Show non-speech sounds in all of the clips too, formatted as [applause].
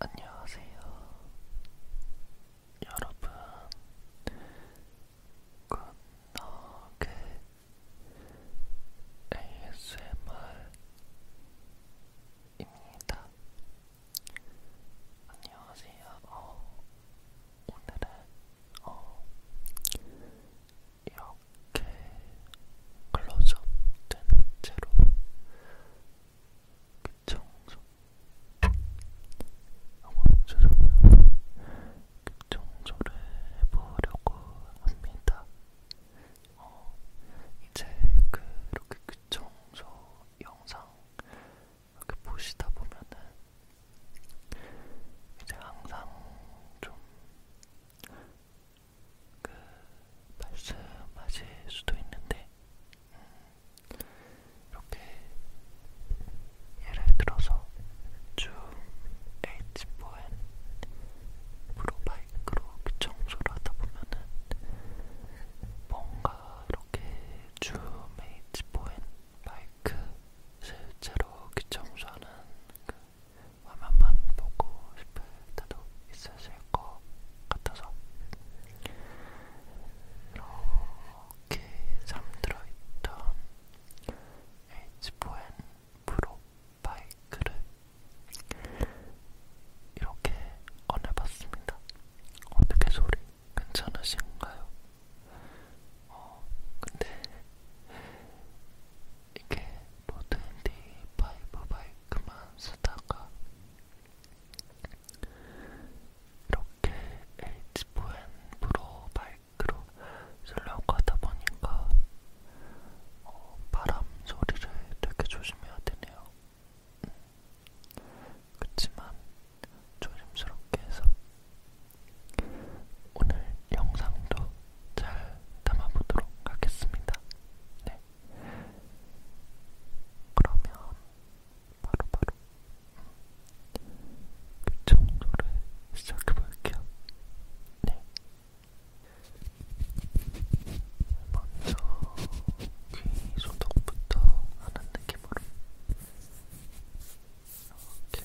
안녕하세요. 여러분, 굿너겟 ASMR입니다. 안녕하세요. 어, 오늘은 어, 이렇게 이렇게 클로즈업 된 채로 그 청소 요거는 그 청소를 해보려고 합니다. 어, 이제 그렇게 그 청소 영상 이렇게 보시다 보면은 이제 항상 좀그 말씀하실 수도 있는데 음, 이렇게 예를 들어서 줌 H4N 프로바이크로 청소를 하다 보면은 뭔가 이렇게 줌 H4N 마이크 실제로 귀청소하는 그 화면만 보고 싶을 때도 있으실 것 같아서 이렇게 잠들어 있던 H4N 프로 바이크를 이렇게 꺼내봤습니다. 어떻게 소리 괜찮으신가요? 어, 근데 이게 뭐든지 파이브 바이크만 쓰다가 이렇게 H4N 프로 바이크로 쓰려고 하다 보니까 어, 바람 소리를 되게 조심해야 되네요. 음. 그렇지만 조심스럽게 해서 오늘 영상도 잘 담아보도록 하겠습니다. 네. 그러면 바로바로 청소를 시작해볼게요. 네. 먼저 귀 소독부터 하는 느낌으로 이렇게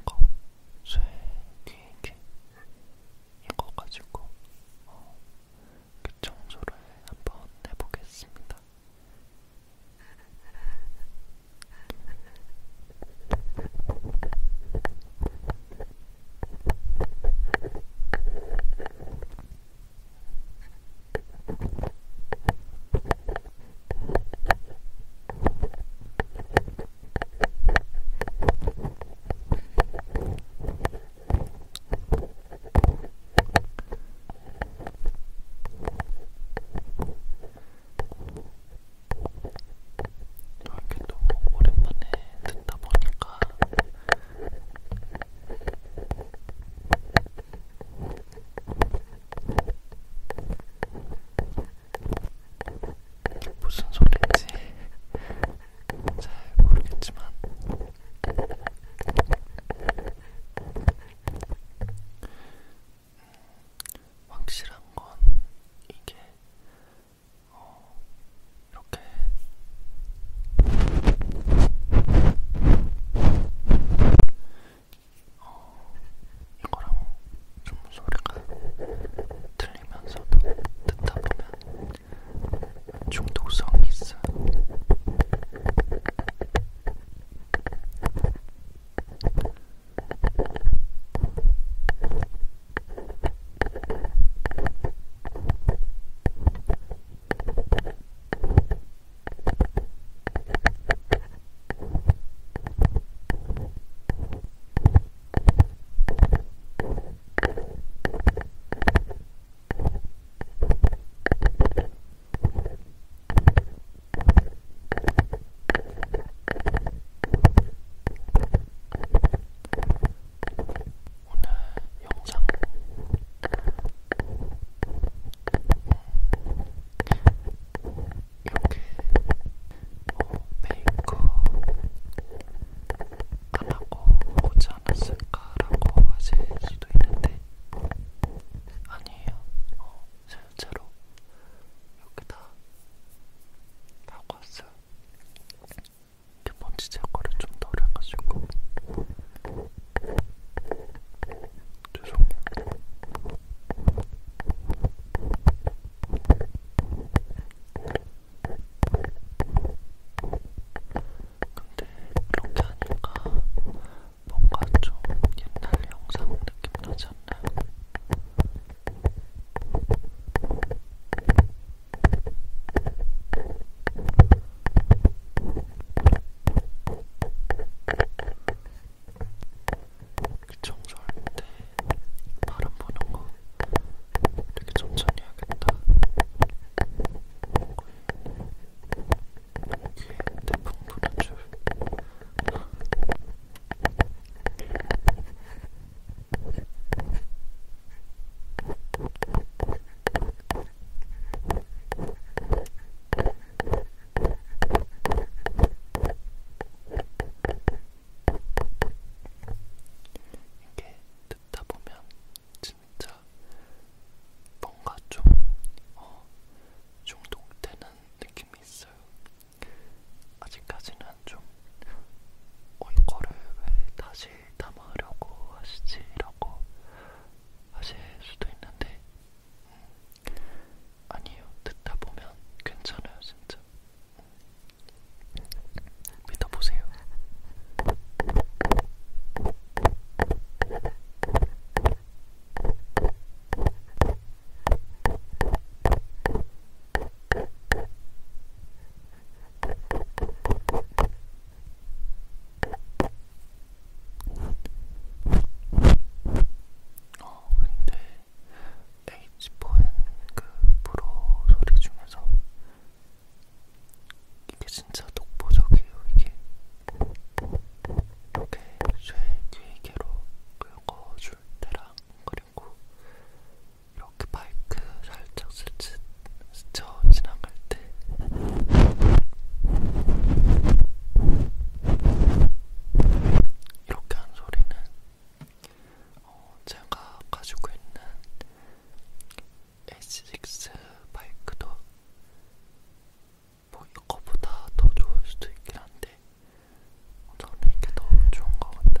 이거 쇠 뒤에 이렇게 이거 가지고 어, 그 청소를 한번 해보겠습니다. 이렇게 너무 오랜만에 듣다 보니까 무슨 소리인지 잘 모르겠지만 확실한 건 이게 어, 이렇게 어, 이거랑 좀 소리가 들리면서도 듣다 보면 중독성이 있어. 오늘 영상 이렇게 어, 메이크업 안 하고 오지 않았을까라고 하실 수도 있는데 아니에요. 어, 실제로 이렇게 다 하고 왔어요. 이게 먼지 제거를 좀덜 해가지고 죄송해요. 근데 이렇게 하니까 뭔가 좀 옛날 영상 느낌 나지 않나요? 그 청소할 때 바람 부는 거 되게 천천히 해야겠다. 귀에 대풍 부는 줄. 이게 듣다 보면 진짜 뭔가 좀 어, 중독되는 느낌이 있어요. 아직까지는 좀 어, 이거를 왜 다시 담으려고 하시지라고 하실 수도 있는데 음, 아니에요. 듣다 보면 괜찮아요, 진짜. 믿어보세요. 어, 근데 H4N 그 프로 소리 중에서 이게 진짜 독보적이에요. 이게 이렇게 쇠 귀개로 긁어줄 때랑 그리고 이렇게 마이크 살짝 스치, 스쳐 지나갈 때 이렇게 한 소리는 어, 제가 가지고 있는 H6 바이크도 뭐 이거보다 더 좋을 수도 있긴 한데 저는 이게 더 좋은 것 같아요.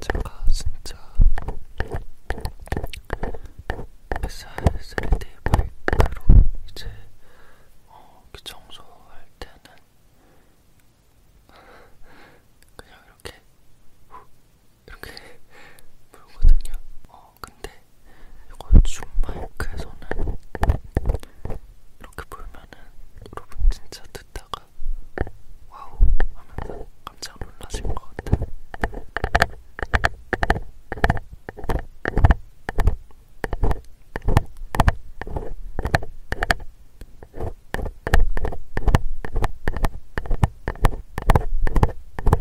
제가 진짜 SRD 마이크로 이제 어, 청소할 때는 그냥 이렇게 후, 이렇게 물거든요. [laughs] 어, 근데 이거 줌 마이크에서는 이렇게 보면은 여러분 진짜 듣다가 와우 하면서 깜짝 놀라신 것 같아요.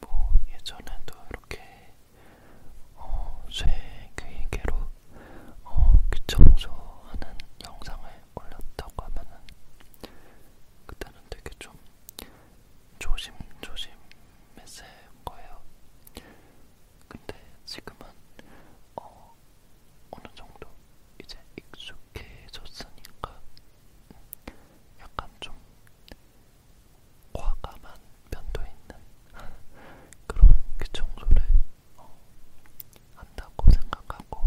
뭐 예전에도 이렇게 어, 쇠귀개로 어, 귀청소하는 영상을 올렸다고 하면은 그때는 되게 좀 조심조심 했을 거예요. 근데 지금은 어, 어느 정도 이제 익숙해졌으니까 약간 좀 과감한 면도 있는 [laughs] 그런 귀청소를 어, 한다고 생각하고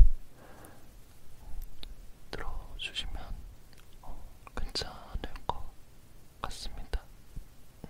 들어주시면 어, 괜찮을 것 같습니다. 음.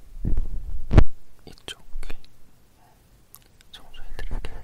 이쪽 귀 청소해드릴게요.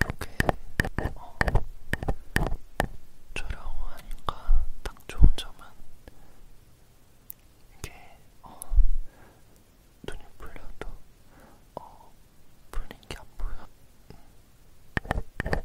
이렇게 어, 촬영하니까 딱 좋은 점은 이게 어, 눈이 풀려도 어, 풀린 게안 보여. 음.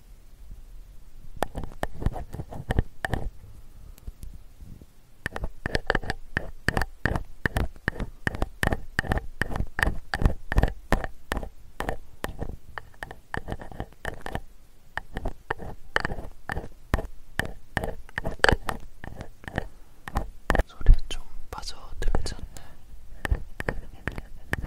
소리에 좀 빠져들지 않네.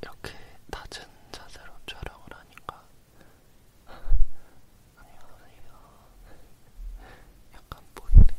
이렇게 낮은 자세로 촬영을 하니까 안녕하세요 약간 보이네요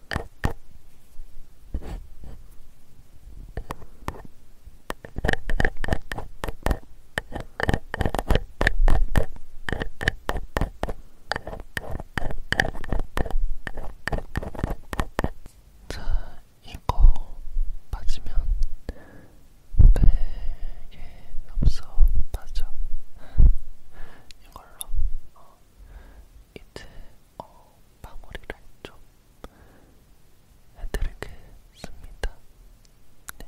자, 이거 맞으면 되게 없어 맞아 이걸로 어, 이제 어, 마무리를 좀 해드리겠습니다. 네.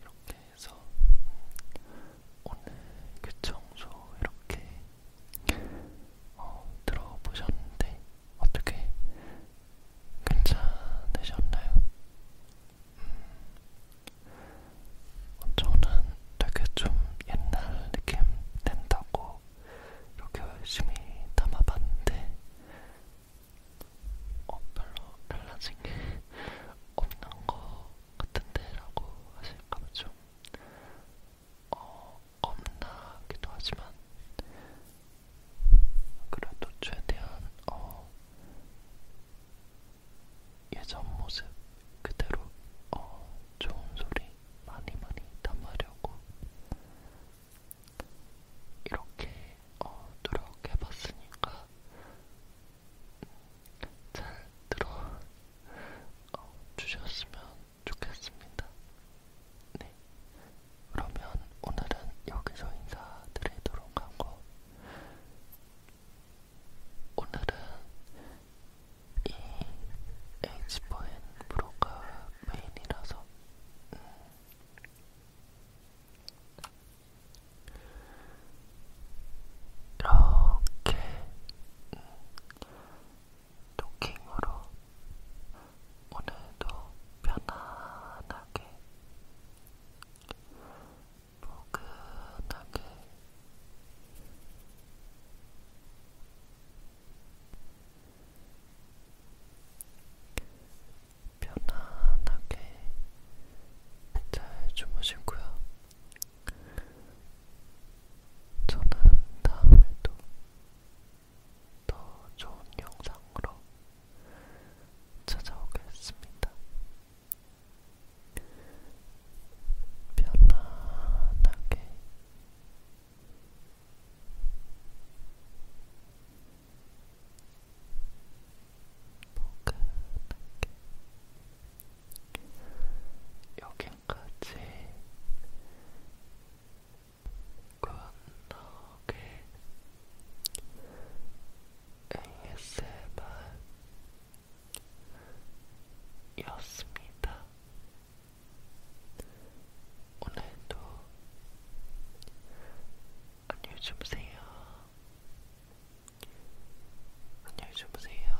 이렇게 해서 오늘 그 청소 이렇게 어, 들어보셨는데 어떻게 괜찮으셨나요? 음, 저는 되게 좀 옛날 느낌 낸다고 이렇게 열심히 담아봤는데 어, 별로 달라진 게 없는 것 같은데 라고 하실까 봐좀 어, 겁나기도 하지만 그래도 최대한 어, 예전 모습 그대로 어, 좋은 소리 많이 많이 담으려고 이렇게 어, 노력해봤으니까 잘 들어 어, 주셨으면 좋겠습니다. 네. 그러면 오늘은 여기서 인사드리도록 하고, 오늘은 이 H4N 브로가 메인이라서, 음, 이렇게 음, 토킹으로 오늘도 편안하게 포근하게 편안하게 잘 주무시고요. 저는 다음에도 더 좋은 영상으로 찾아오겠습니다. 편안하게 포근하게 여기까지 건너게 ASMR였습니다. 오늘도 안녕히 주무세요. 안녕히 주무세요.